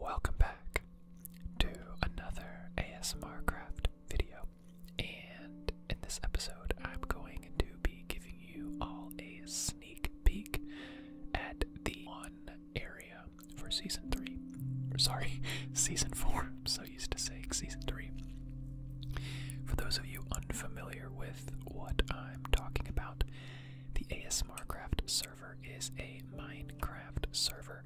Welcome back to another ASMR craft video. And in this episode, I'm going to be giving you all a sneak peek at the one area for season 3. sorry, season 4. I'm so used to saying season 3. For those of you unfamiliar with what I'm talking about, the ASMR craft server is a Minecraft server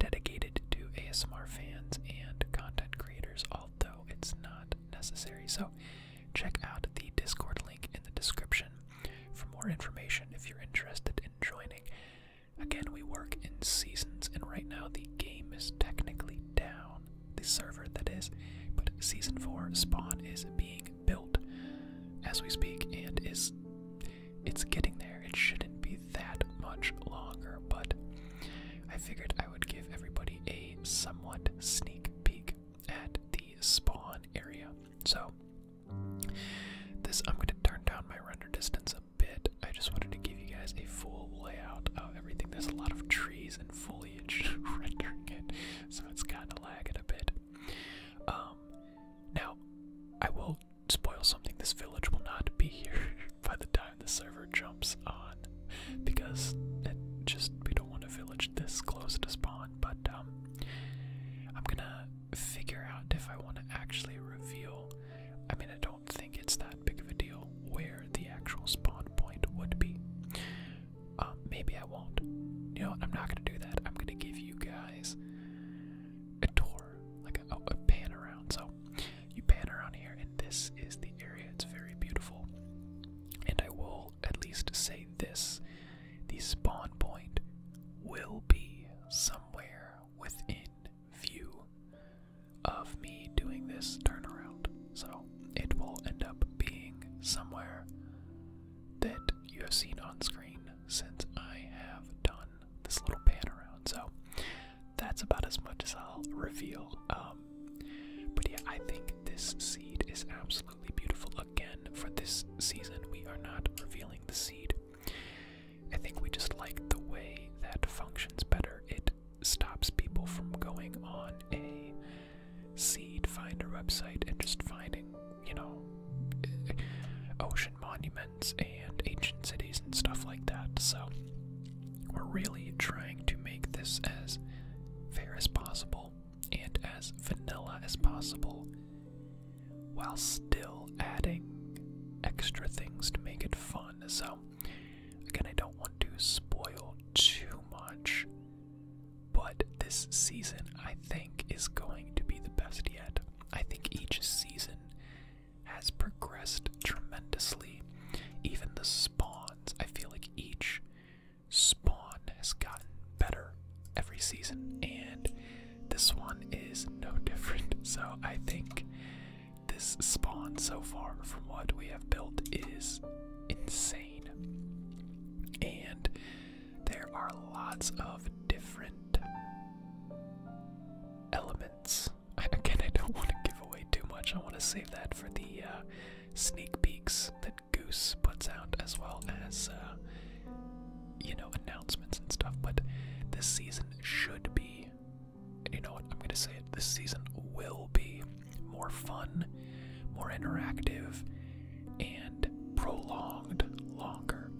dedicated to ASMR fans and content creators, although it's not necessary. So, check out the Discord link in the description for more information if you're interested in joining. Again, we work in seasons, and right now the game is technically down, the server that is, but season 4 spawn is big built as we speak and is it's getting there. It shouldn't be that much longer, but I figured I would give everybody a somewhat sneak peek at the spawn area. So this I'm going to turn down my render distance a bit. I just wanted to give you guys a full layout of everything. There's a lot of trees and foliage rendering it, so it's kind of lagging a bit. Um, now, I will spoil something. This village will not be here by the time the server jumps on, because it just we don't want a village this close to spawn. But um, I'm gonna figure out if I want to actually reveal. I mean, I don't think it's that big of a deal where the actual spawn point would be. Um, maybe I won't. You know I'm not going to do that. I'm going to give you guys a tour, like a, a pan around. So you pan around here, and this is the area. It's very beautiful. And I will at least say this the spawn point will be somewhere within view of me doing this turnaround. So it will end up being somewhere that you have seen on screen since I have done this little pan around. So that's about as much as I'll reveal. Um, but yeah, I think this seed is absolutely beautiful. Again, for this season, we are not revealing the seed. I think we just like the way that functions better. It stops people from going on a seed finder website and just finding, you know, uh, ocean monuments and ancient cities and stuff like that. So we're really trying to make this as fair as possible and as vanilla as possible while still adding extra things to make it fun. So again, I don't want to spoil too much but this season I think is going to be the best yet. I think each season has progressed tremendously. Even the spawns, I feel like each spawn has gotten better every season, and this one is no different. So I think this spawn so far from what we have built is insane. And there are lots of different elements. Again, I don't want to give away too much. I want to save that for the uh, sneak peeks that Goose puts out, as well as, uh, you know, announcements and stuff. But this season should be, and you know what, I'm going to say it, this season will be more fun, more interactive, and prolonged longer.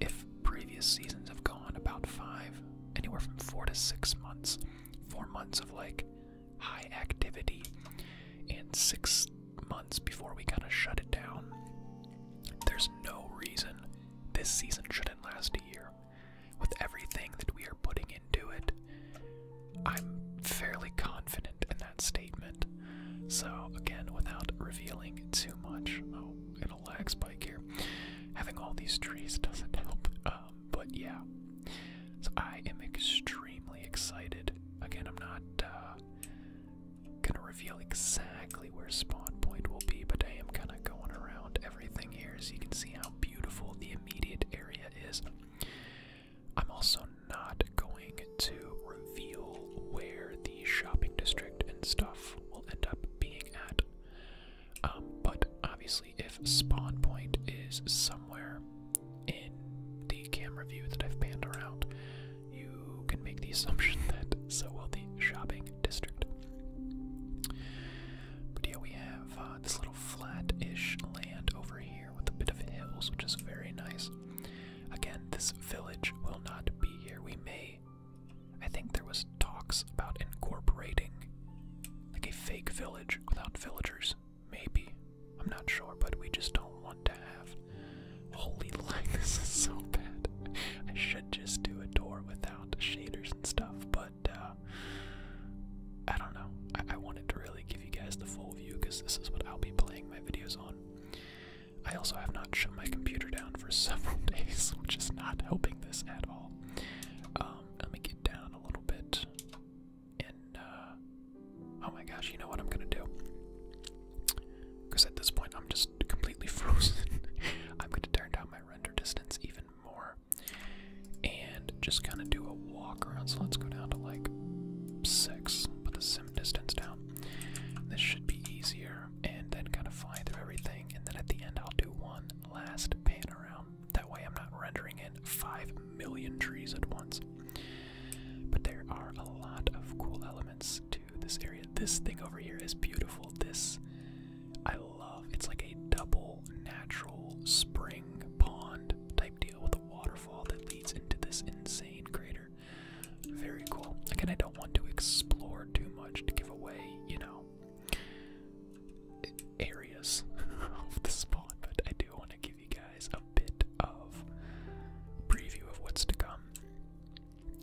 If previous seasons have gone about five, anywhere from four to six months, four months of like high activity, and six months before we kind of shut it down, there's no reason this season shouldn't last a year. With everything that we are putting in do it. I'm fairly confident in that statement. So, again, without revealing too much, oh, it'll lag spike here. Having all these trees doesn't help, um, but yeah. So, I am extremely excited. Again, I'm not uh, gonna reveal exactly where spawn point will be, but I am kind of going around everything here so you can see how beautiful the immediate area is. I'm also not going to reveal where the shopping district and stuff will end up being at. Um, but obviously, if spawn point is somewhere in the camera view that I've panned around, you can make the assumption that so will the shopping district. But yeah, we have uh, this little flat ish land over here with a bit of hills, which is very nice. Again, this village will not be here. We may. I think there was talks about incorporating like a fake village without villagers. Maybe. I'm not sure, but we just don't want to have. Holy light, this is so bad. I should just do a door without shaders and stuff, but. Uh, I don't know. I, wanted to really give you guys the full view because this is what I'll be playing my videos on. I also have not shut my computer down for several days, which is not helping this at all. Um, let me get down a little bit. And, uh, oh my gosh, you know what I'm gonna do? Because at this point, I'm just completely frozen. I'm gonna turn down my render distance even more and just kind of do a walk around. So let's go down to like six, put the sim distance down. This should be easier, and then kind of fly through everything. And then at the end, I'll do one last pan around. That way, I'm not rendering in five million trees at once. But there are a lot of cool elements to this area. This thing over here is beautiful. This, I it's like a double natural spring pond type deal with a waterfall that leads into this insane crater. Very cool. Again, I don't want to explore too much to give away, you know, areas of the spot. but I do want to give you guys a bit of preview of what's to come.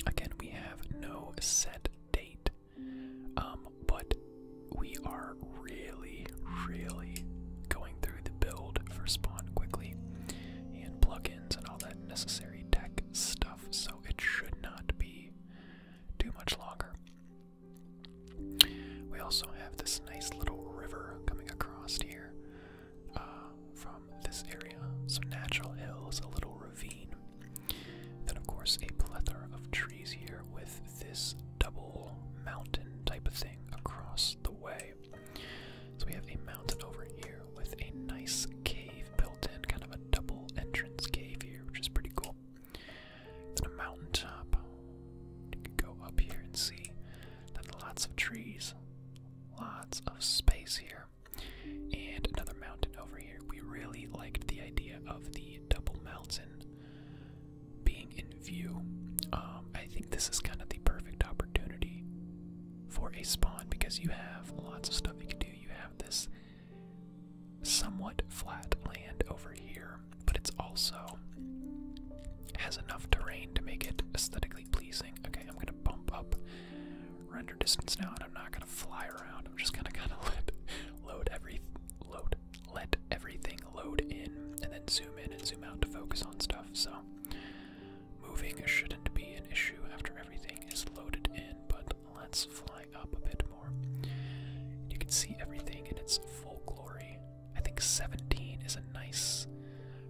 Again, we have no set date, um, but we are really, really going through the build for spawn quickly and plugins and all that necessary tech stuff, so it should not be too much longer. We also have this nice little river coming across here uh, from this area. Some natural hills, a little ravine. Then, of course, a plethora of trees here with this double mountain type of thing across the way. So we have a mountain over here with a nice cave built in, kind of a double entrance cave here, which is pretty cool. It's a mountain top. You can go up here and see. lots of trees, lots of space here, and another mountain over here. We really liked the idea of the double mountain being in view, um, I think this is kind of the perfect opportunity for a spawn because you have lots of stuff you can do. You have this somewhat flat land over here, but it's also has enough terrain to make it aesthetically pleasing. Okay, I'm gonna bump up render distance now, and I'm not gonna fly around. I'm just gonna kind of load every load let everything load in and then zoom in and zoom out to focus on stuff. So moving shouldn't be an issue after everything is loaded in, but let's fly up a bit more. You can see everything in its full glory. I think 17 is a nice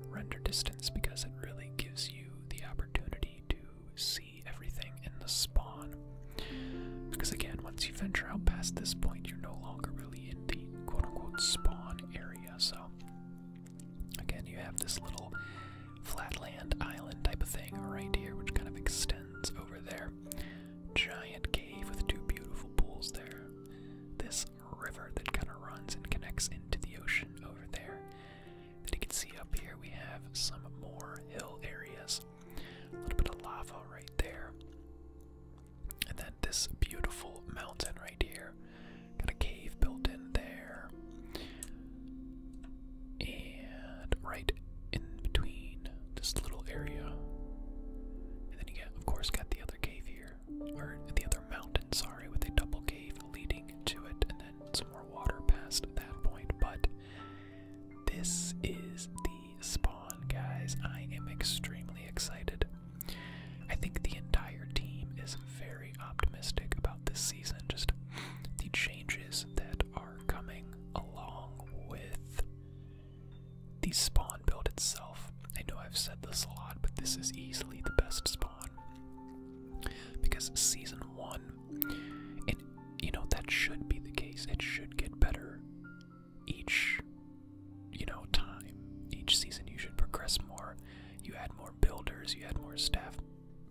render distance because it really gives you the opportunity to see everything in the spawn because again, once you venture out past this point, you're no longer really in the quote unquote spawn area. So, again, you have this little flatland island type of thing right here, which kind of extends over there. Giant cave with two beautiful pools there. This river that kind of runs and connects into the ocean over there. That you can see up here we have some more hill areas. A little bit of lava right there. And then this beautiful mountain right here. Got a cave built in there. And right in between this little area. And then you get, of course, got the other cave here. Or the other mountain, sorry, with a double cave leading to it. And then some more water past that point. But this is the spawn, guys. I am extremely excited. I think the entire team is very optimistic about this season, just the changes that are coming along with the spawn build itself. I know I've said this a lot, but this is easily the best spawn. Because season one and, you know, that should be the case. It should get better each, you know, time. Each season you should progress more. You add more builders, you add more staff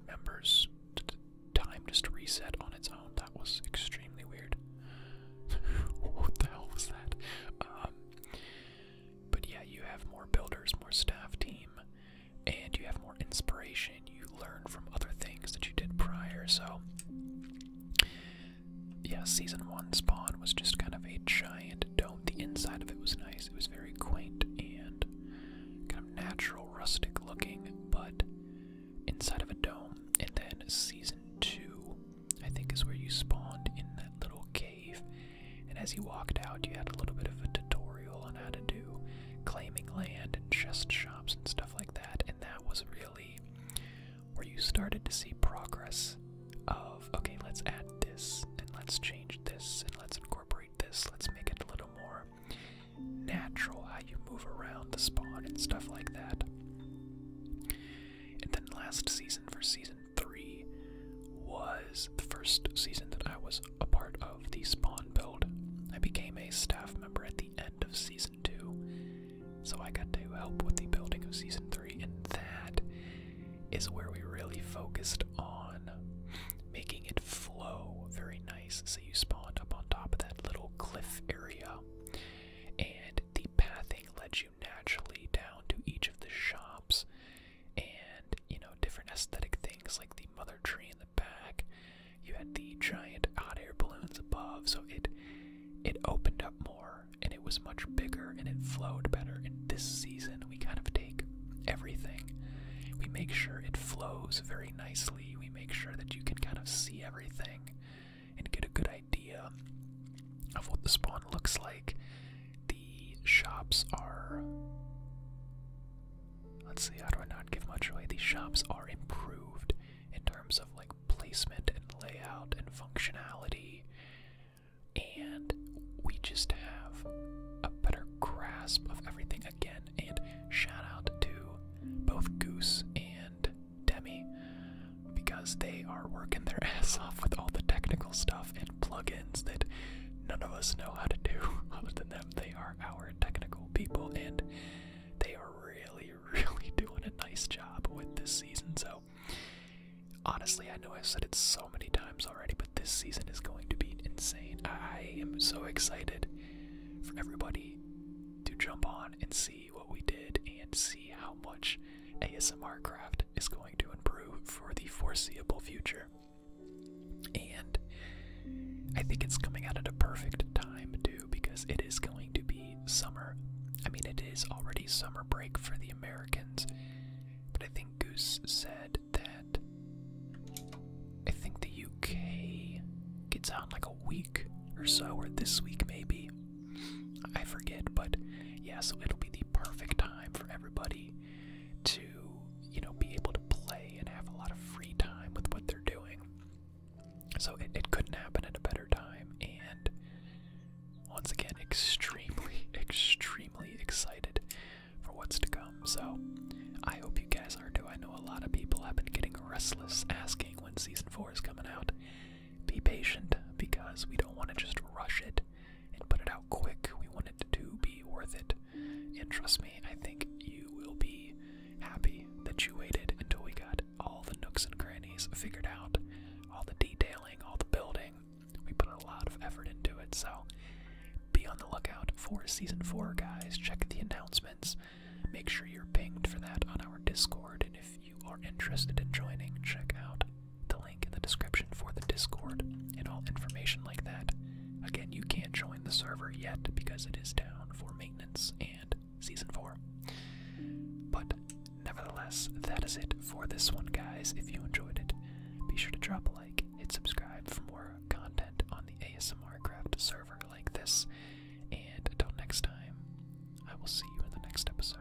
members. Time just reset on its own. That was extremely weird. what the hell was that? Um, but yeah, you have more builders, more staff team, and you have more inspiration information, you learn from other things that you did prior. So, yeah, season one Spawn was just kind of a giant dome. The inside of it was nice, it was very quaint and kind of natural, rustic looking, but inside of a dome. And then season two, I think, is where you spawned in that little cave. And as you walked out, you had a little bit of a tutorial on how to do claiming land and chest shops and stuff like that, and that was really where you started to see progress of okay, let's add this and let's change this and let's incorporate this, let's make it a little more natural how you move around the spawn and stuff like that. And then last season for season three was the first season that I was a part of the Spawn build. I became a staff member at the end of Season 2, so I got to help with the building of Season 3, and that is where we really focused on making it flow very nice. So you spawned up on top of that little cliff area, and the pathing led you naturally down to each of the shops and you know different aesthetic things like the mother tree in the back you had the giant hot air balloons above, so it it opened up more and it was much bigger and it flowed better. In this season we kind of take everything. We make sure it flows very nicely. We make sure that you can kind of see everything and get a good idea of what the spawn looks like. The shops are Let's see, how do I not give much away? These shops are improved in terms of like placement and layout and functionality. And we just have a better grasp of everything again. And shout out to both Goose and Demi because they are working their ass off with all the technical stuff and plugins that none of us know how to do other than them. They are our technical people, and they are really, really doing a nice job with this season. So, honestly, I know I've said it so many times already, but this season is going to be insane. I am so excited for everybody to jump on and see what we did and see how much ASMR craft is going to improve for the foreseeable future. And I think it's coming out at a perfect time, too, because it is going to be summer. I mean, it is already summer break for the Americans, but I think Goose said that I think the UK gets out in like a week or so, or this week maybe. I forget, but yes, it'll be the perfect time for everybody to, you know, be able to play and have a lot of free time with what they're doing. So it, it couldn't happen at a better time. And once again, extremely, extremely excited for what's to come. So I hope you guys are too. I know a lot of people have been getting restless asking when season four is coming out. Be patient because we don't want to just rush it and put it out quick. We want it to be worth it and trust me, I think you will be happy that you waited until we got all the nooks and crannies figured out, all the detailing, all the building. We put a lot of effort into it, so be on the lookout for season four, guys. Check the announcements. Make sure you're pinged for that on our Discord, and if you are interested in joining, check out the link in the description for the Discord and all information like that. Again, you can't join the server yet because it is down for maintenance and season 4. But nevertheless, that is it for this one, guys. If you enjoyed it, be sure to drop a like, hit subscribe for more content on the ASMR Craft server like this. And until next time, I will see you in the next episode.